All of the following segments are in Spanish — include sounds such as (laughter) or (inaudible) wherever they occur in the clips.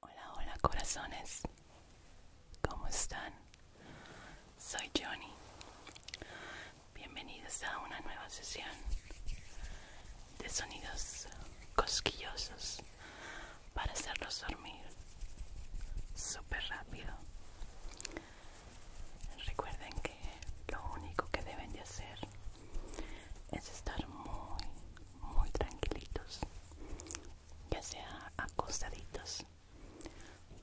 Hola, hola corazones, ¿cómo están? Soy Johnny. Bienvenidos a una nueva sesión de sonidos cosquillosos para hacerlos dormir súper rápido. Recuerden que lo único que deben de hacer es estar muy, muy tranquilitos, ya sea acostaditos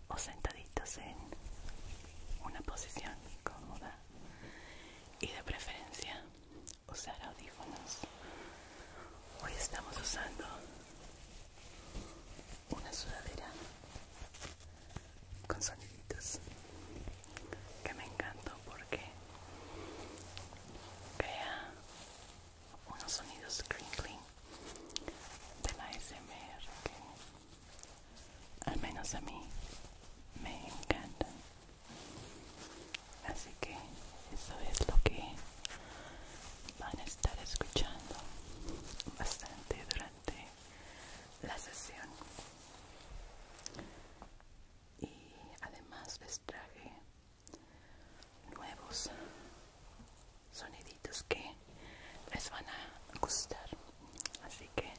o sentaditos en una posición cómoda y de preferencia usar audífonos. Hoy estamos usando una sudadera con soniditos que me encantó porque crea unos sonidos crinkling de la SMR que al menos a mí me encantan así que eso es lo que van a estar escuchando bastante durante la sesión y además les traje nuevos soniditos que les van a gustar así que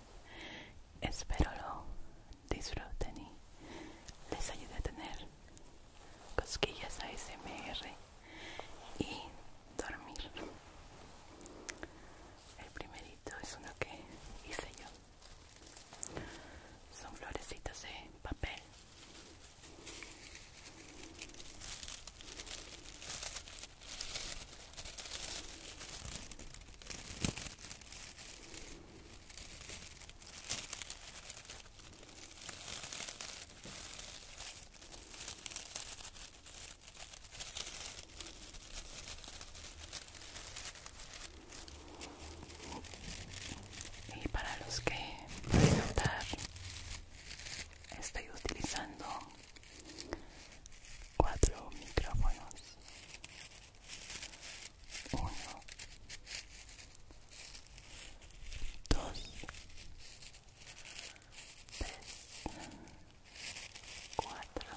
espero lo disfruten y les ayude a tener cosquillas ASMR y dormir el primerito es uno que hice yo. Son florecitas de papel. Y para los que pueden notar, estoy utilizando cuatro micrófonos. Uno, dos, tres. 4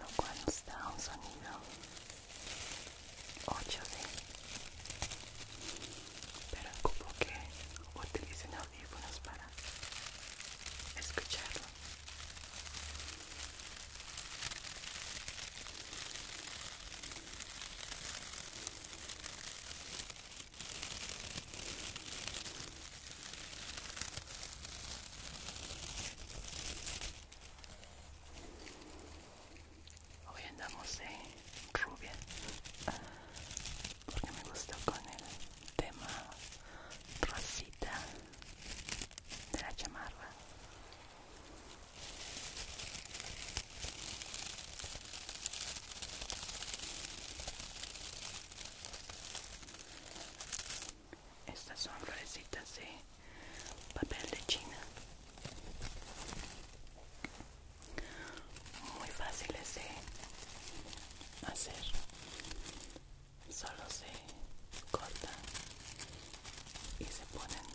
lo cual nos da un sonido 8 pero como que utilicen audífonos para escucharlo Hoy andamos de rubia porque me gustó con el tema rosita de la chamarra. Estas son florecitas de papel de China. Muy fáciles de hacer. Solo se cortan y se ponen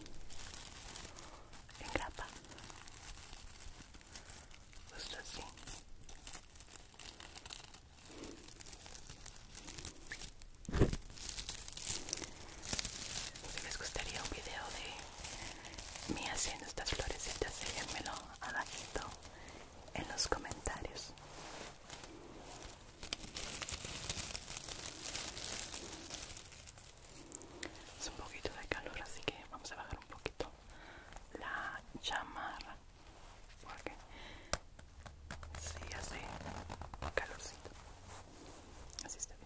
en grapa. Justo así. Si les gustaría un video de mí haciendo estas florecitas, déjenmelo abajito en los comentarios. Es un poquito de calor, así que vamos a bajar un poquito la chamarra porque si sí, así calorcito así está bien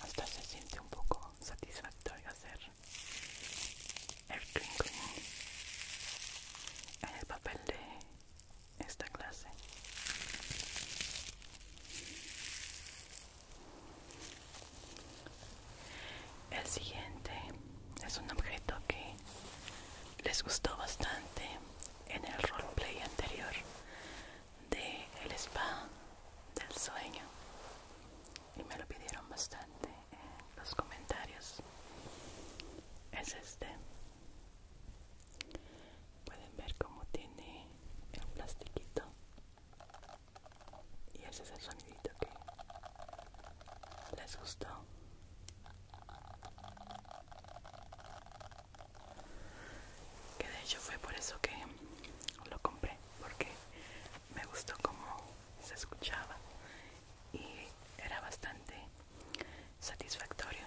Hasta se siente un poco satisfactorio hacer el twinkling en el papel de esta clase. El siguiente es un objeto que les gustó bastante en el roleplay anterior de el spa del sueño y me lo pidieron bastante en los comentarios. Es este. Pueden ver cómo tiene el plastiquito y ese es el sonidito que ¿Les gustó? Que de hecho fue por eso que lo compré, porque me gustó como se escuchaba y era bastante satisfactorio.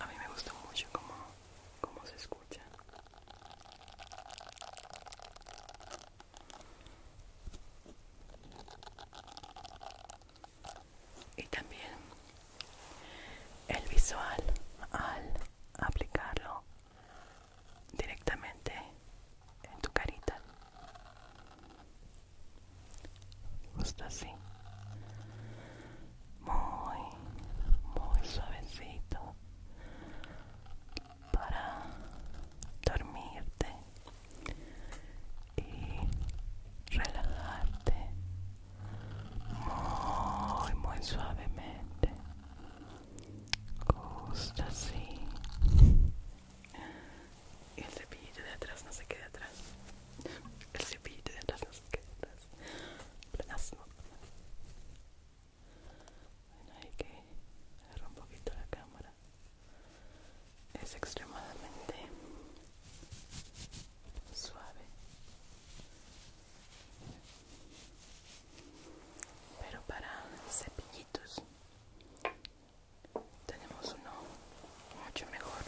A mí me gusta mucho cómo, cómo se escucha. Y también el visual al aplicarlo directamente en tu carita justo así muy muy suavecito para dormirte y relajarte muy muy suavemente Justo así. Y el cepillito de atrás no se quede atrás. El cepillito de atrás no se quede atrás. Plasmo. Bueno, hay que agarrar un poquito la cámara. Es extremadamente suave pero para cepillitos tenemos uno mucho mejor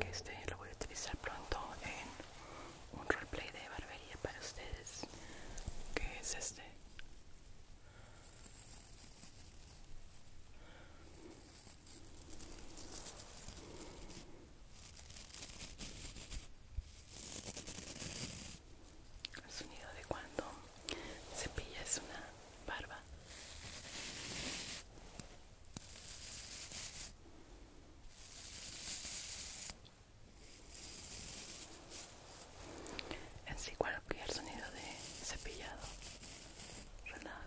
que este lo voy a utilizar pronto en un roleplay de barbería para ustedes que es este el sonido de cuando cepillas una barba en sí el sonido de cepillado relaja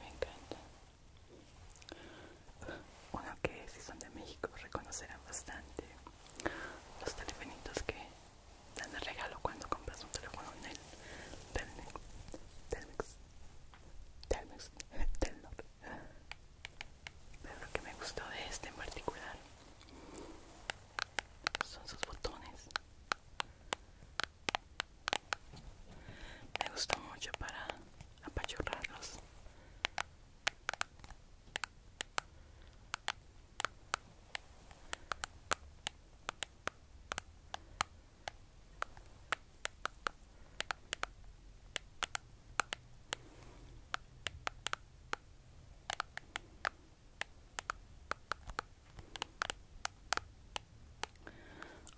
me encanta uno que si son de México reconocerán bastante los telefonitos que dan de regalo cuando compras un teléfono en el Telmex Telmex Telmex (laughs) Pero lo que me gustó de este en particular son sus botones. Me gustó mucho para apachurrarlos.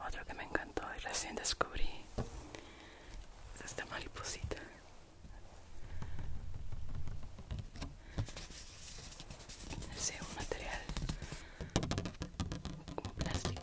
Otro que me encantó y recién descubrí es esta mariposita. Es un material, Como plástico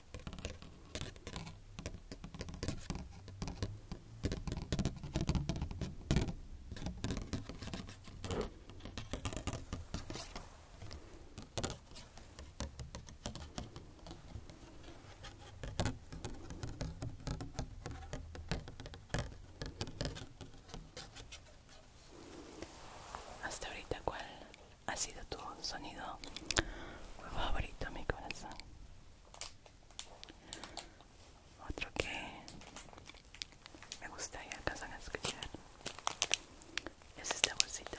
Hasta ahorita, ¿cuál ha sido tu sonido favorito, mi corazón. Otro que me gustaría y alcanzan escuchar es esta bolsita.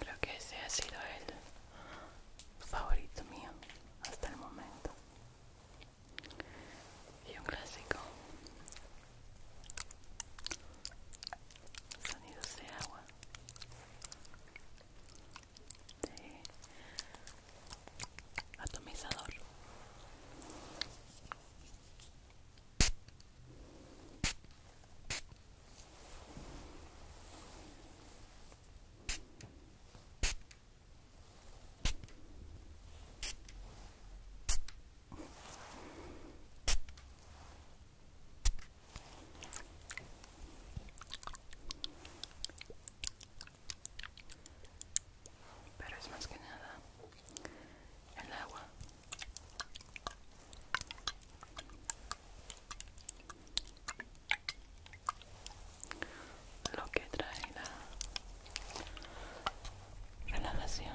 Creo que ese ha sido el favorito mío hasta el momento. Y un clásico. Sonidos de agua atomizador pero es más que nada el agua lo que trae la relajación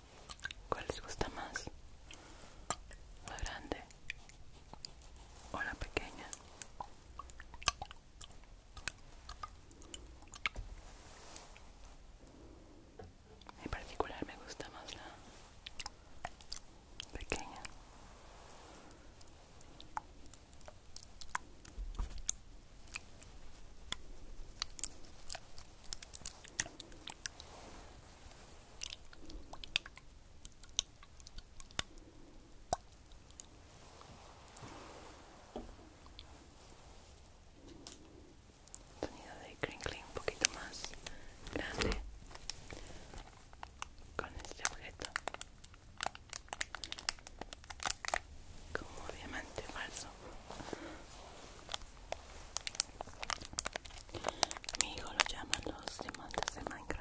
¿Cuál les gusta más? ¿La grande o la pequeña? En particular me gusta más la pequeña. Sonido de crinkling un poquito más grande con este objeto como diamante falso mi hijo lo llaman los diamantes de Minecraft.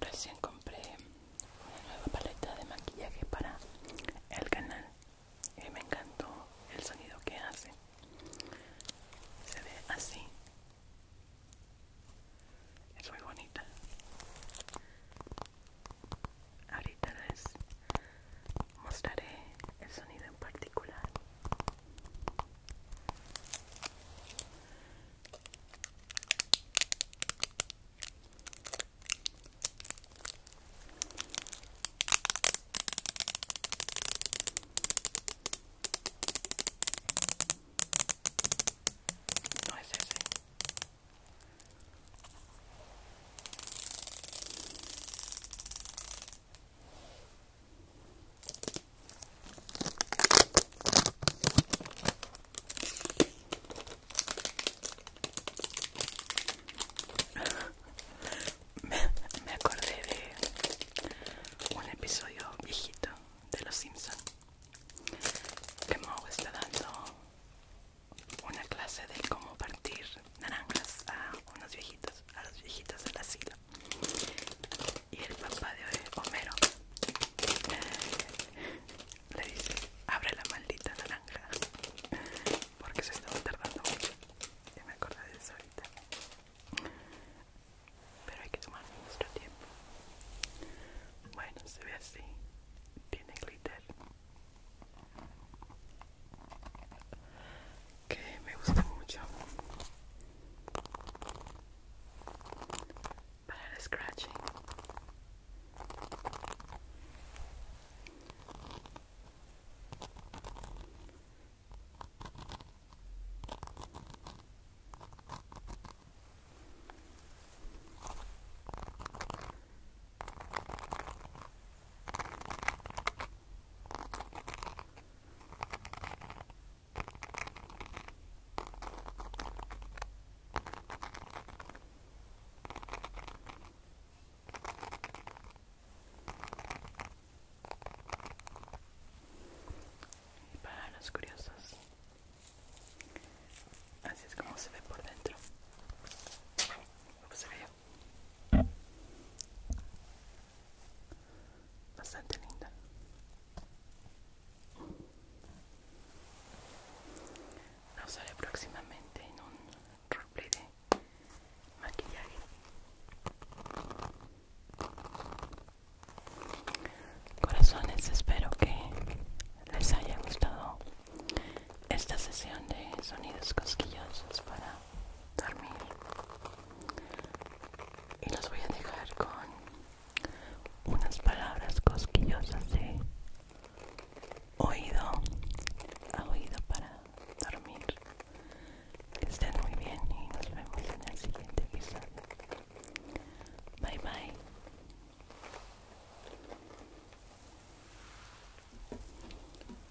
Recién compré una nueva paleta de maquillaje para el canal y me encantó el sonido que hace. Se ve así. Es muy bonita. Ahorita es mostraré el sonido en particular no es ese me, acordé de un episodio viejito de Los Simpson que Moe está dando una clase de cómo partir naranjas a unos viejitos, a los viejitos del asilo. Y el papá de Homero eh, le dice, abre la maldita naranja, porque se estaba tardando mucho. me acordé de eso ahorita. Pero hay que tomar nuestro tiempo. Bueno, se ve así. Tiene glitter que me gusta mucho para el scratching y para los curiosos, así es como se ve por dentro. Bastante linda. La usaré próximamente en un roleplay de maquillaje. Corazones, espero que les haya gustado esta sesión de sonidos cosquillosos para dormir y los voy a dejar con unas palabras cosquillosas de oído a oído para dormir que estén muy bien y nos vemos en el siguiente episodio bye bye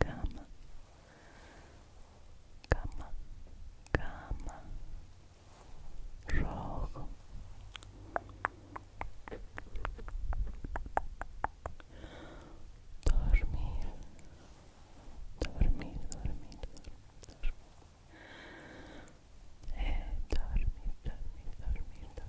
cama cama cama rojo dormir dormir dormir dormir eh, dormir dormir dormir dormir dormir